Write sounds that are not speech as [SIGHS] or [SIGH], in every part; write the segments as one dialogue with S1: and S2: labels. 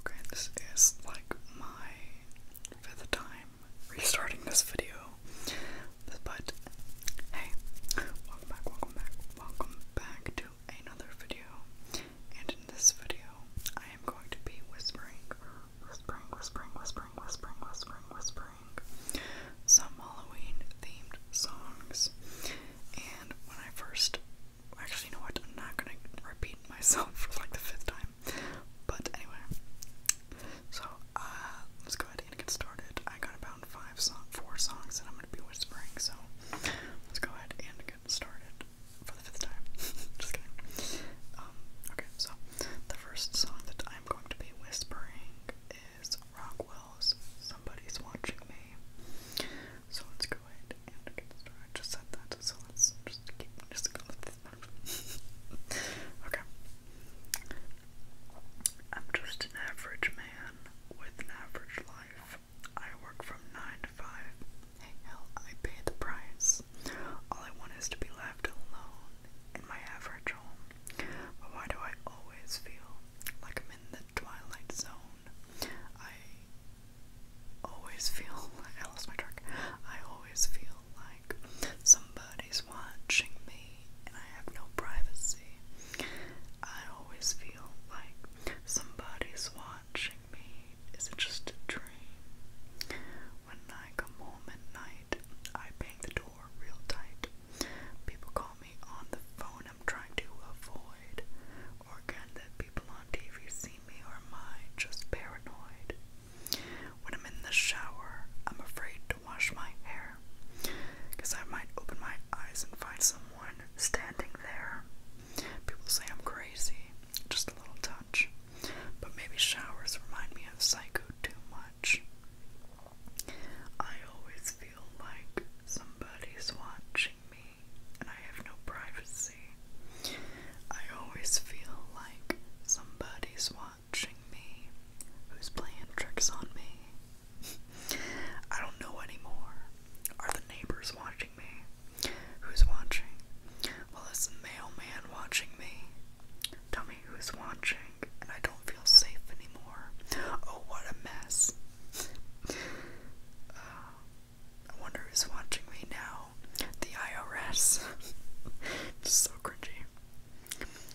S1: Okay, this is like my fifth time restarting this video. But hey, welcome back, welcome back, welcome back to another video. And in this video, I am going to be whispering, whispering, whispering, whispering, whispering, whispering, whispering, some Halloween themed songs. And when I first actually you know what, I'm not gonna repeat myself [LAUGHS] for like the fifth time. But anyway. So uh let's go ahead and get started. I got about five song four songs that I'm gonna be whispering, so let's go ahead and get started for the fifth time. [LAUGHS] Just kidding. Um, okay, so the first song that I'm going to be whispering is Rockwell's somebody's watching me. So let's go ahead and get started. I just said that, so let's just keep just go [LAUGHS] Okay. I'm just an average man with an average life. I work from 9 to 5. hell, I pay the price. All I want is to be left alone in my average home. But why do I always feel like in the Twilight Zone. I always feel like [LAUGHS] I lost my track. I always feel like somebody's watching me and I have no privacy. I always feel like somebody's watching me. Is it just a dream? When I come home at night, I bang the door real tight. People call on the phone I'm trying to avoid, or can that people on TV see me, or am I just paranoid? When I'm in the shower, I'm afraid to wash my hair, because I might open my eyes and find someone standing there. People say I'm crazy, just a little touch, but maybe showers remind me of psycho too much. I always feel like somebody's watching me and I have no privacy. I always feel like somebody's watching me who's playing tricks on me. [LAUGHS] I don't know anymore. Are the neighbors watching me? Who's watching? Well, is the mailman watching me? Tell me who's watching, and I don't feel safe anymore. Oh, what a mess. Uh, I wonder who's watching me now. The IRS. it's [LAUGHS] so cringy.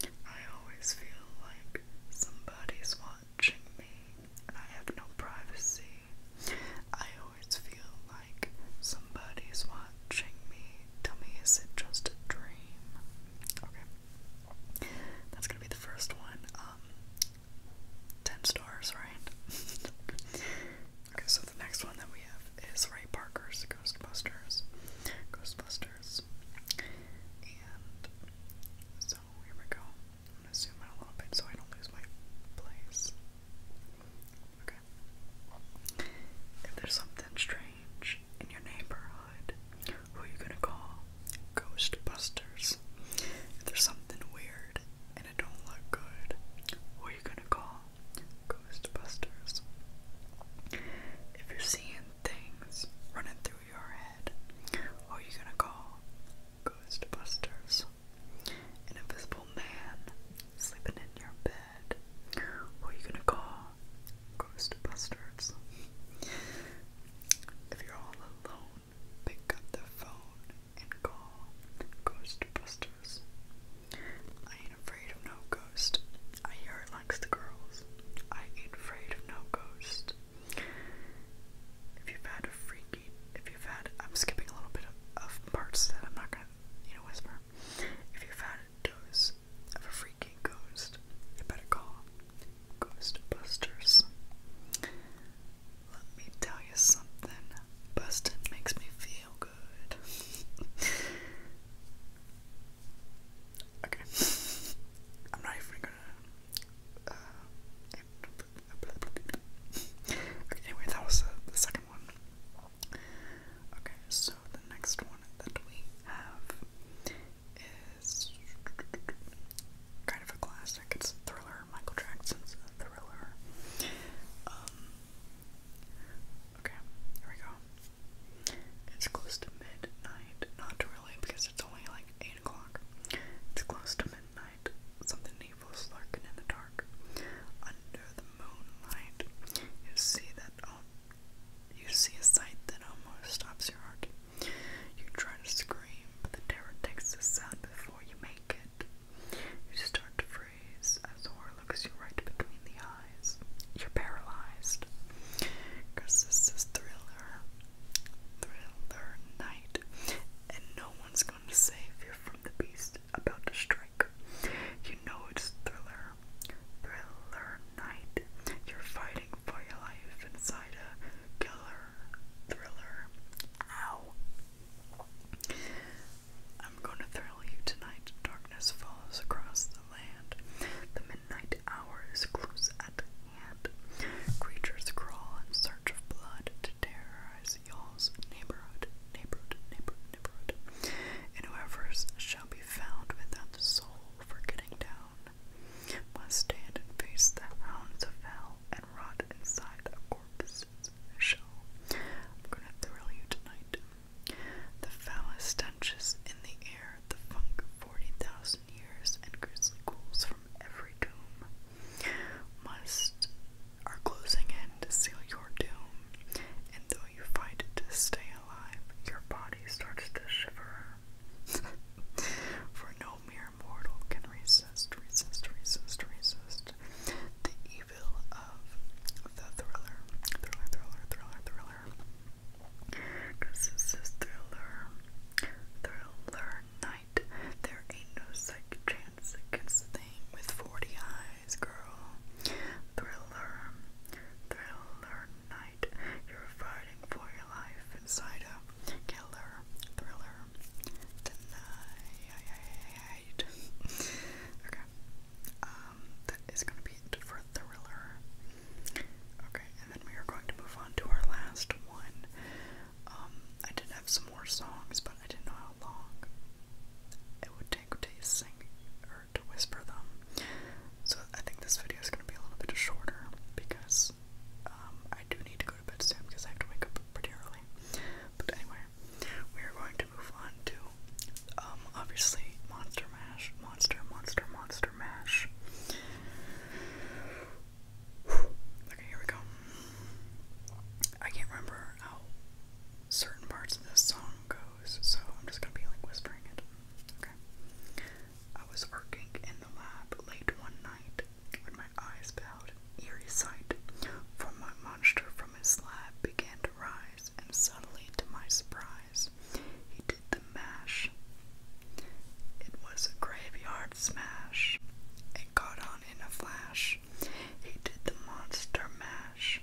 S1: I always feel like somebody's watching me and I have no privacy. I always feel like somebody's watching me. Tell me, is it just a dream? Okay. That's gonna be the first one. Um, ten stars, right? [LAUGHS] okay, so the next one that we have is Ray Parker's Ghostbusters. Ghostbusters. And so here we go. I'm going a little bit so I don't lose my place. Okay. If there's something strange in your neighborhood, who you gonna call? Ghostbusters. If there's something weird and it don't look good, who are you gonna call? Ghostbusters. If you're seeing things running through your head, who are you gonna call? Ghostbusters. An invisible man sleeping in your bed, who are you gonna call? Ghostbusters. If you're all alone, pick up the phone and call Ghostbusters. I ain't afraid of no ghost. I hear it likes the girls. I ain't afraid of no ghost. If you've had a freaky, if you've had, I'm skipping a little bit of, parts that I'm not gonna, you know, whisper. If you've had a dose of a freaky ghost, you better call Ghostbusters. Let me tell you something. Bustin' makes me feel good. okay. I'm not even gonna. Uh, okay, anyway, that was the second one. Okay, so the next one that we have is kind of a classic. It's thriller, Michael Jackson's thriller. Um, okay, here we go. It's close to midnight. Not really, because it's only like 8 o'clock. It's close to midnight. Something evil is lurking in the dark. Under the moonlight, you see that. Um, you see a sight that almost stops your heart. You try to scream, but the terror takes the sound before you make it. You start to freeze as the horror looks you right between the eyes. You're paralyzed. Because this is thriller. Thriller night. And no one's going to save you from the beast about to strike. You know it's thriller. Thriller night. You're fighting fighting for your life inside a killer thriller. Ow. I'm going to thrill you tonight. Darkness follows across the land. The midnight hour is close at hand. Creatures crawl in search of blood to terrorize y'all's neighborhood, neighborhood, neighborhood, neighborhood. And whoever's shall be found without the soul for getting down must stand and face the hounds of hell and rot inside a corpse's shell. I'm gonna thrill you tonight. The foulest stenches in the air, the funk of forty thousand years, and grisly ghouls from every tomb must are closing in to seal your doom. And though you fight to stay alive, your body starts to shiver. [LAUGHS] For no mere mortal can resist, resist, resist, resist the evil of the thriller. Thriller, thriller, thriller, Because this is thriller. Thriller night. There ain't no second chance against thing with 40 eyes, girl. Thriller. Thriller night. You're fighting for your life inside a killer thriller tonight. okay. Um, that is gonna be it for thriller. Okay, and then we are going to move on to our last one. Um, I did have some more songs, but I didn't know how long it would take to sing or to whisper them. So I think this video is going to be a little bit shorter because um, I do need to go to bed soon because I have to wake up pretty early. But anyway, we are going to move on to, um, obviously Monster Mash, Monster, Monster, Monster Mash. [SIGHS] Okay, here we go. I can't remember how certain parts of this song goes, so I'm just gonna be like whispering it. Okay. I was working in the lab late one night when my eyes beheld in eerie sight, for my monster from his lab began to rise, and suddenly, to my surprise, he did the mash. It was a graveyard smash. It caught on in a flash. He did the monster mash.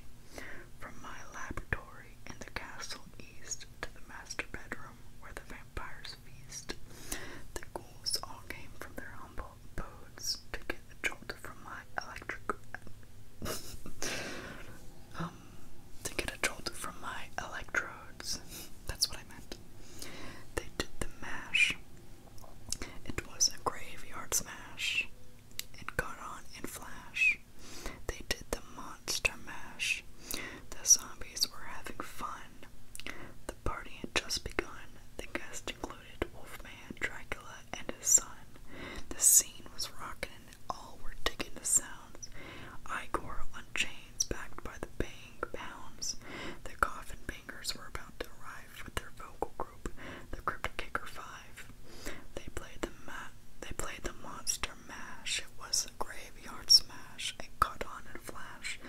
S1: From my laboratory in the castle east to the master bedroom where the vampires feast. The ghouls all came from their humble abodes to get a jolt from my electric [LAUGHS] um to get a jolt from my electrodes. That's what I meant. They did the mash. It was a graveyard smash. It got on in flash. They did the Monster Mash. The zombies were having fun. The party had just begun. The guests included Wolfman, Dracula, and his son. The scene was rocking and all were digging the sounds. Igor on chains, backed by the bang pounds. The coffin bangers were about to arrive with their vocal group, the Crypt Kicker Five. They played the ma they played the monster it was a graveyard smash. It caught on in a flash.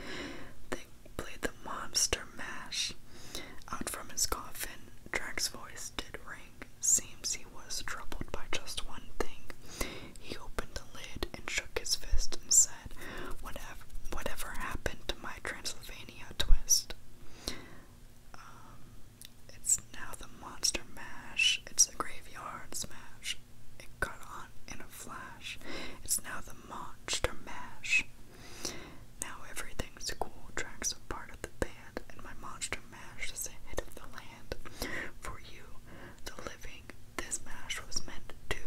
S1: They played the monster mash. Out from his coffin, Drax's voice did ring. Seems he was troubled by just one thing. He opened the lid and shook his fist and said, Whatever happened to my Transylvania twist? Um, it's now the monster mash. It's a graveyard smash it caught on in a flash. It's now the monster mash. Now everything's cool tracks a part of the band, and my monster mash is a hit of the land. For you, the living, this mash was meant to.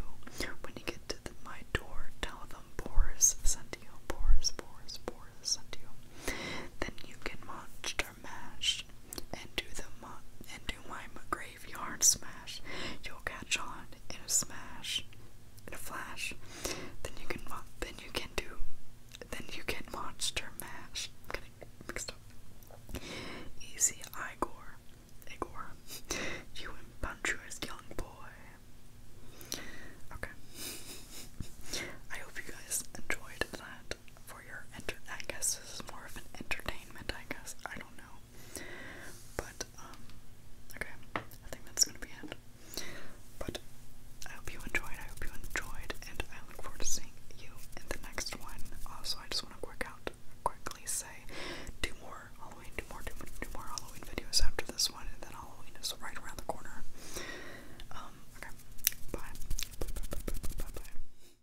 S1: When you get to the, my door, tell them Boris sent you. Boris, Boris, Boris sent you. Then you can monster and do the and do my graveyard smash, you'll catch on in a smash, in a flash. Then you can then you can do then you can monster mash. I'm getting mixed up. Easy Igor, Igor, [LAUGHS] you impetuous young boy. Okay. [LAUGHS] I hope you guys enjoyed that for your I guess this is more of an entertainment, I guess. I don't know. But um okay, I think that's gonna be it. But I hope you enjoyed, I hope you enjoyed, and I look forward to seeing you in the next one. Also, I just wanna quickly say do more Halloween, do more, do more, Halloween videos after this one, and then Halloween is right around the corner. Um, okay. bye bye bye bye bye. bye.